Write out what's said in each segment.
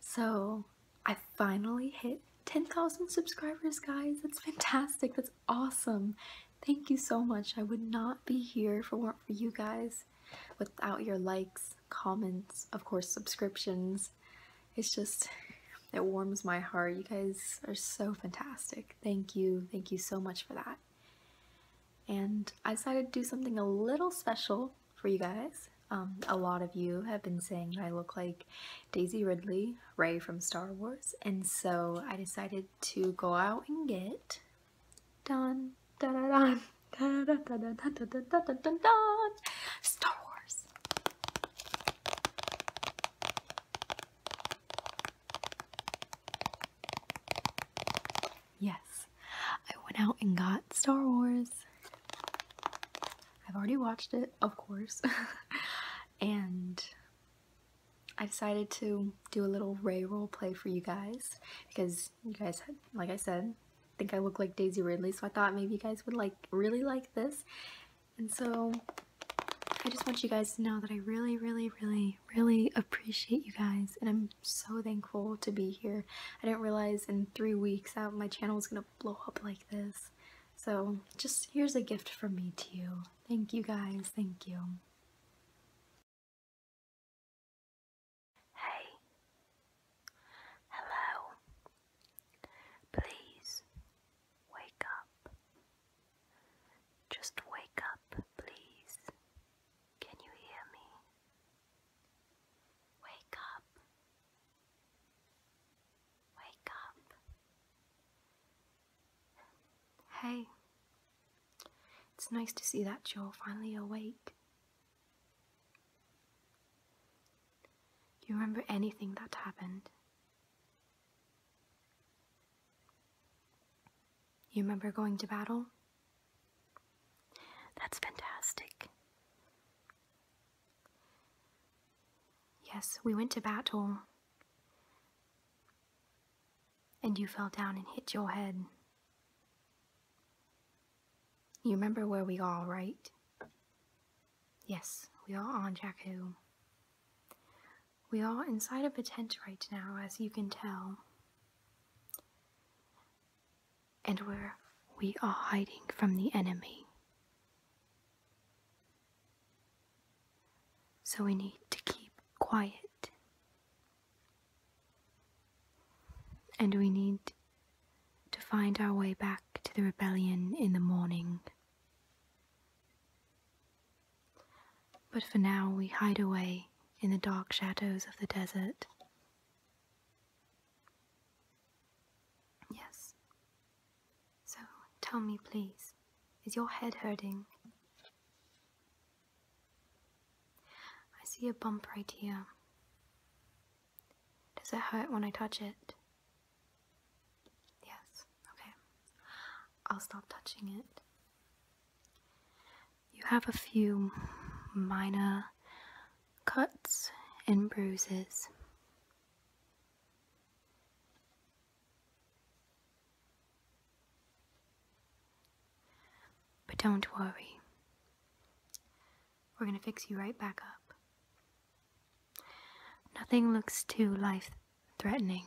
So I finally hit 10,000 subscribers, guys. That's fantastic. That's awesome. Thank you so much. I would not be here if it weren't for you guys without your likes, comments, of course, subscriptions. It's just, it warms my heart. You guys are so fantastic. Thank you. Thank you so much for that. And I decided to do something a little special for you guys. Um, a lot of you have been saying I look like Daisy Ridley, Rey from Star Wars, and so I decided to go out and get dun da da dun da da da da da da da da da da Star Wars. Yes, I went out and got Star Wars. I've already watched it, of course, and I decided to do a little Ray role play for you guys because you guys, had, like I said, think I look like Daisy Ridley, so I thought maybe you guys would like really like this. And so I just want you guys to know that I really, really, really, really appreciate you guys, and I'm so thankful to be here. I didn't realize in three weeks that my channel was going to blow up like this. So just here's a gift from me to you. Thank you guys, thank you. Hey. Hello. Please wake up. Just wake up, please. Can you hear me? Wake up. Wake up. Hey, it's nice to see that you're finally awake. you remember anything that happened? You remember going to battle? That's fantastic. Yes, we went to battle. And you fell down and hit your head. You remember where we are, right? Yes, we are on Jakku. We are inside of a tent right now, as you can tell and where we are hiding from the enemy. So we need to keep quiet. And we need to find our way back to the rebellion in the morning. But for now, we hide away in the dark shadows of the desert. Yes. So tell me, please, is your head hurting? I see a bump right here. Does it hurt when I touch it? Yes, okay. I'll stop touching it. You have a few minor cuts and bruises. But don't worry. We're going to fix you right back up. Nothing looks too life threatening.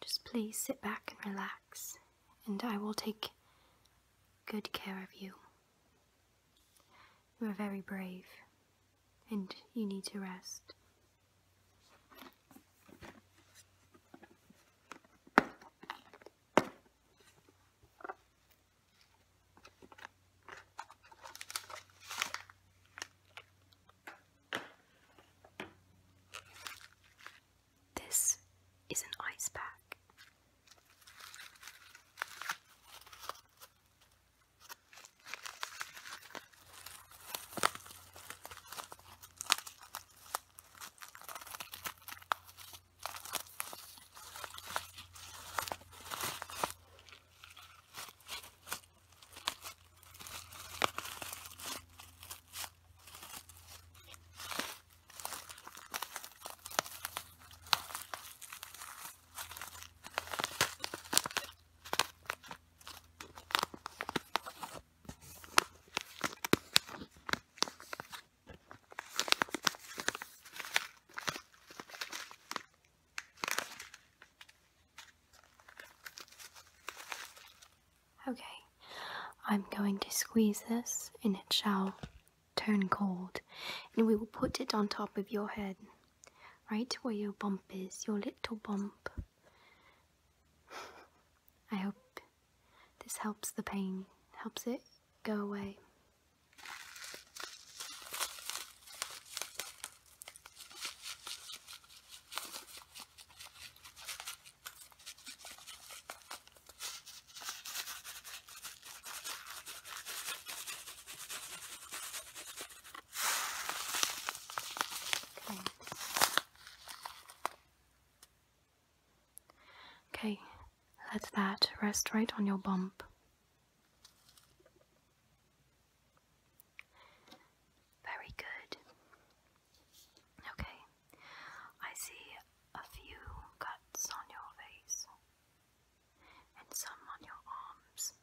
Just please sit back and relax, and I will take good care of you. You are very brave, and you need to rest. This is an ice pack. Okay, I'm going to squeeze this and it shall turn cold, and we will put it on top of your head, right where your bump is, your little bump. I hope this helps the pain, helps it go away. Okay. okay, let that rest right on your bump. Very good. Okay, I see a few cuts on your face and some on your arms.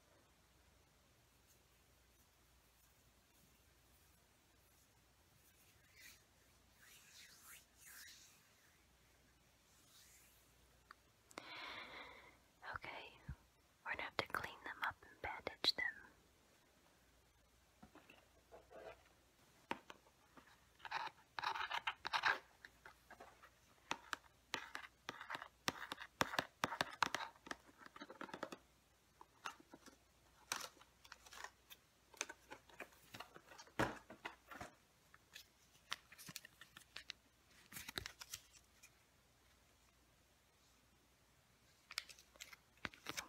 Okay, we're gonna have to clean them up and bandage them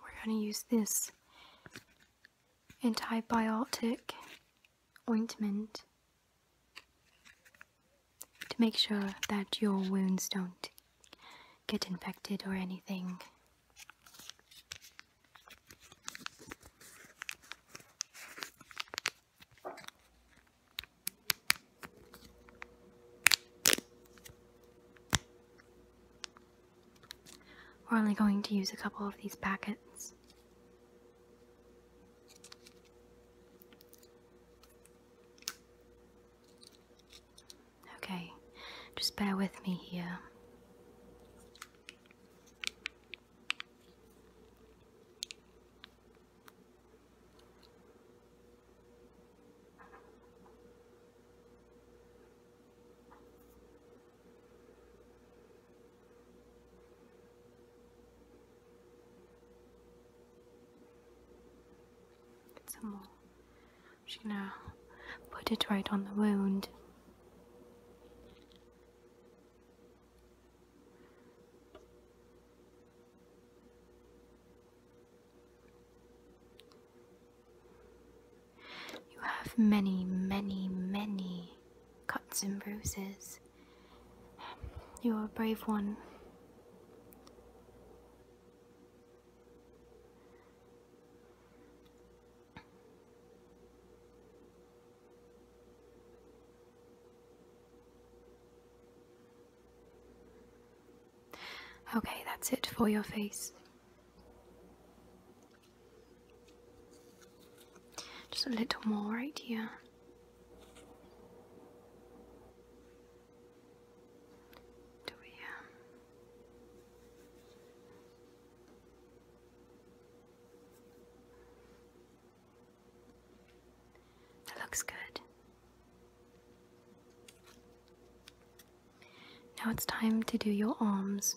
we're going to use this antibiotic ointment to make sure that your wounds don't get infected or anything. We're only going to use a couple of these packets. Okay, just bear with me here. Get some more. i gonna put it right on the wound. You have many, many, many cuts and bruises. You're a brave one. Okay, that's it for your face. Just a little more right here. Do we um, That looks good. Now it's time to do your arms.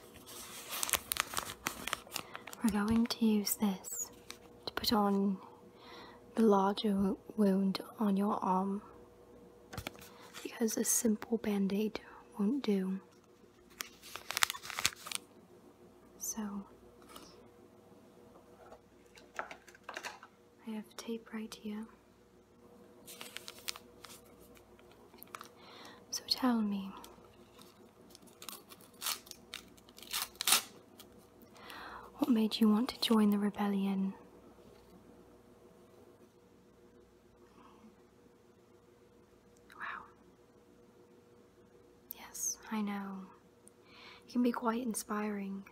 We're going to use this to put on the larger wound on your arm because a simple band-aid won't do. So I have tape right here. So tell me, what made you want to join the rebellion? Wow. Yes, I know. It can be quite inspiring.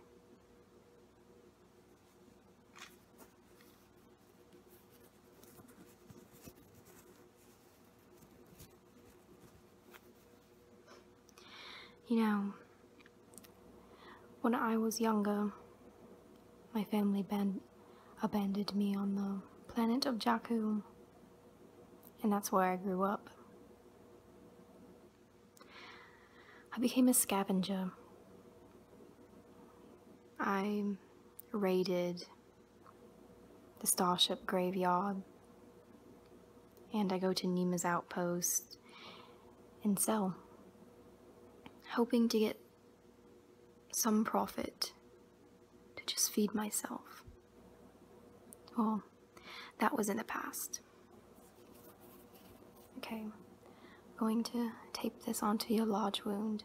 You know, when I was younger, my family abandoned me on the planet of Jakku, and that's where I grew up. I became a scavenger. I raided the Starship Graveyard, and I go to Nima's Outpost and sell, hoping to get some profit to just feed myself. Well, that was in the past. Okay, going to tape this onto your large wound.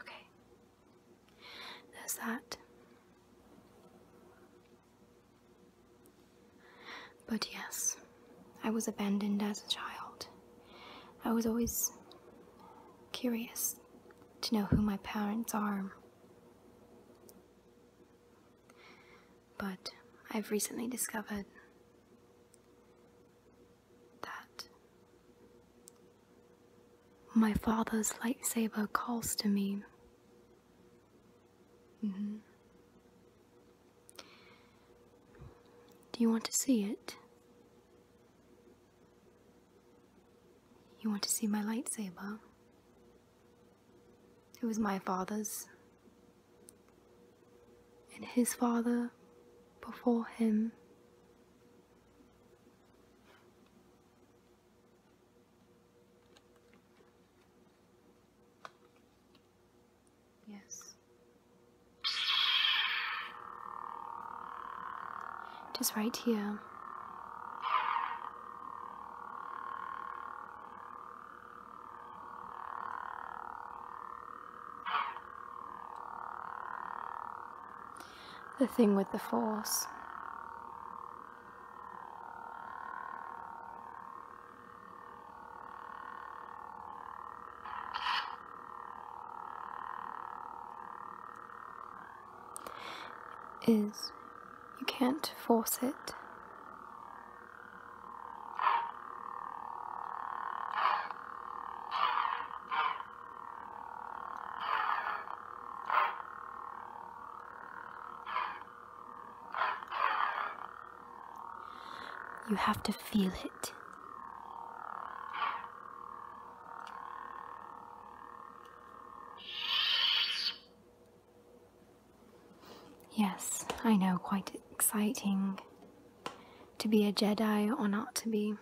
Okay. There's that. But yes, I was abandoned as a child. I was always curious to know who my parents are. But I've recently discovered that my father's lightsaber calls to me. Mm-hmm. Do you want to see it? You want to see my lightsaber? It was my father's. And his father before him. Yes. Just right here. The thing with the Force. is you can't force it. You have to feel it. Yes, I know, quite exciting. To be a Jedi or not to be?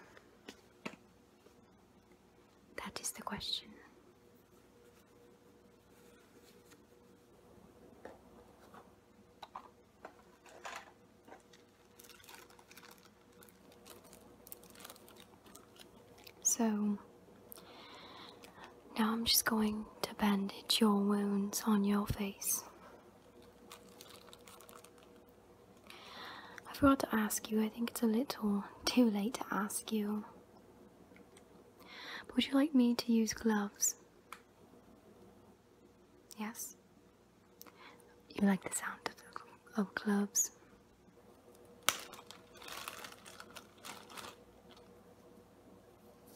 That is the question. So, now I'm just going to bandage your wounds on your face. I forgot to ask you, I think it's a little too late to ask you. would you like me to use gloves? Yes? You like the sound of gloves?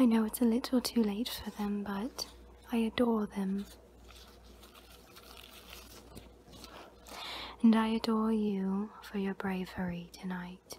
I know it's a little too late for them, but I adore them. And I adore you for your bravery tonight.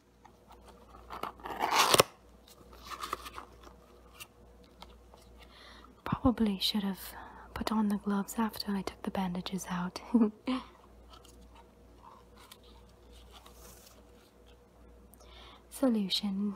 Probably should have put on the gloves after I took the bandages out. Solution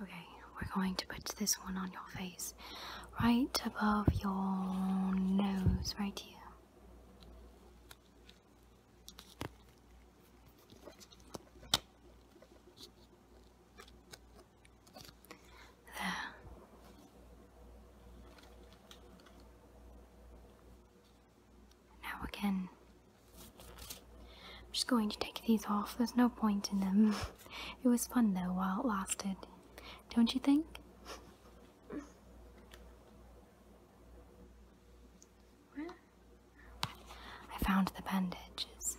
Okay, we're going to put this one on your face, right above your nose, right here. There. Now again, I'm just going to take these off. There's no point in them. it was fun though while it lasted, don't you think? I found the bandages.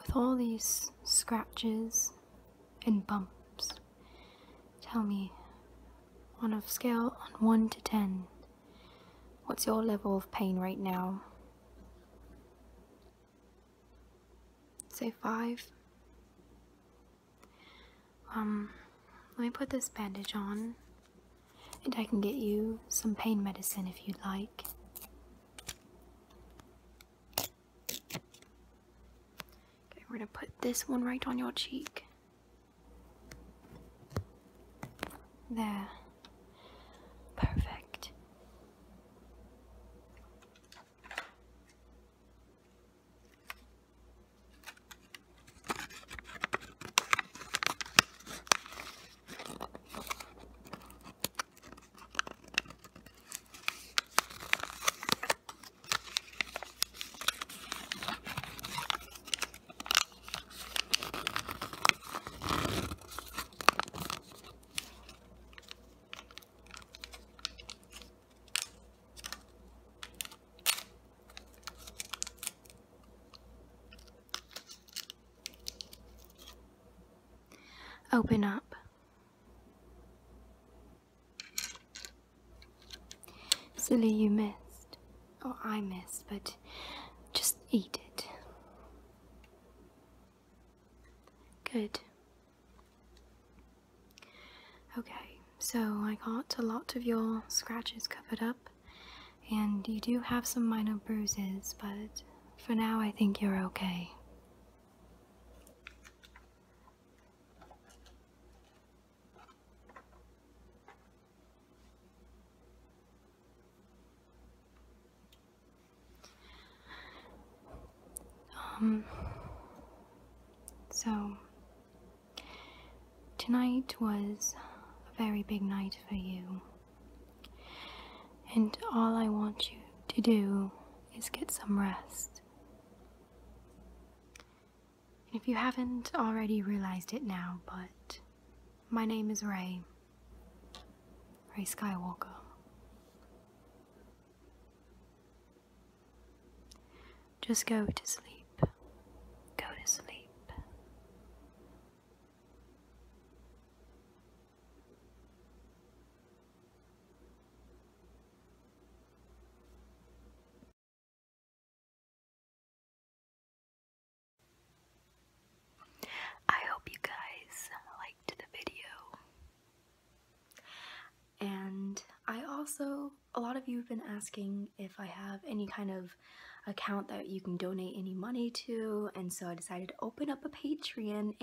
with all these scratches and bumps. Tell me, on a scale on 1 to 10, what's your level of pain right now? Say 5. Um, let me put this bandage on, and I can get you some pain medicine if you'd like we're gonna put this one right on your cheek. There. Perfect. Open up Silly, you missed. Or oh, I missed, but just eat it. Good. Okay, so I got a lot of your scratches covered up, and you do have some minor bruises, but for now I think you're okay. Um, so, tonight was a very big night for you, and all I want you to do is get some rest. And if you haven't already realized it now, but my name is Ray. Ray Skywalker. Just go to sleep. Go to sleep. I hope you guys liked the video. And I also, a lot of you have been asking if I have any kind of account that you can donate any money to, and so I decided to open up a Patreon.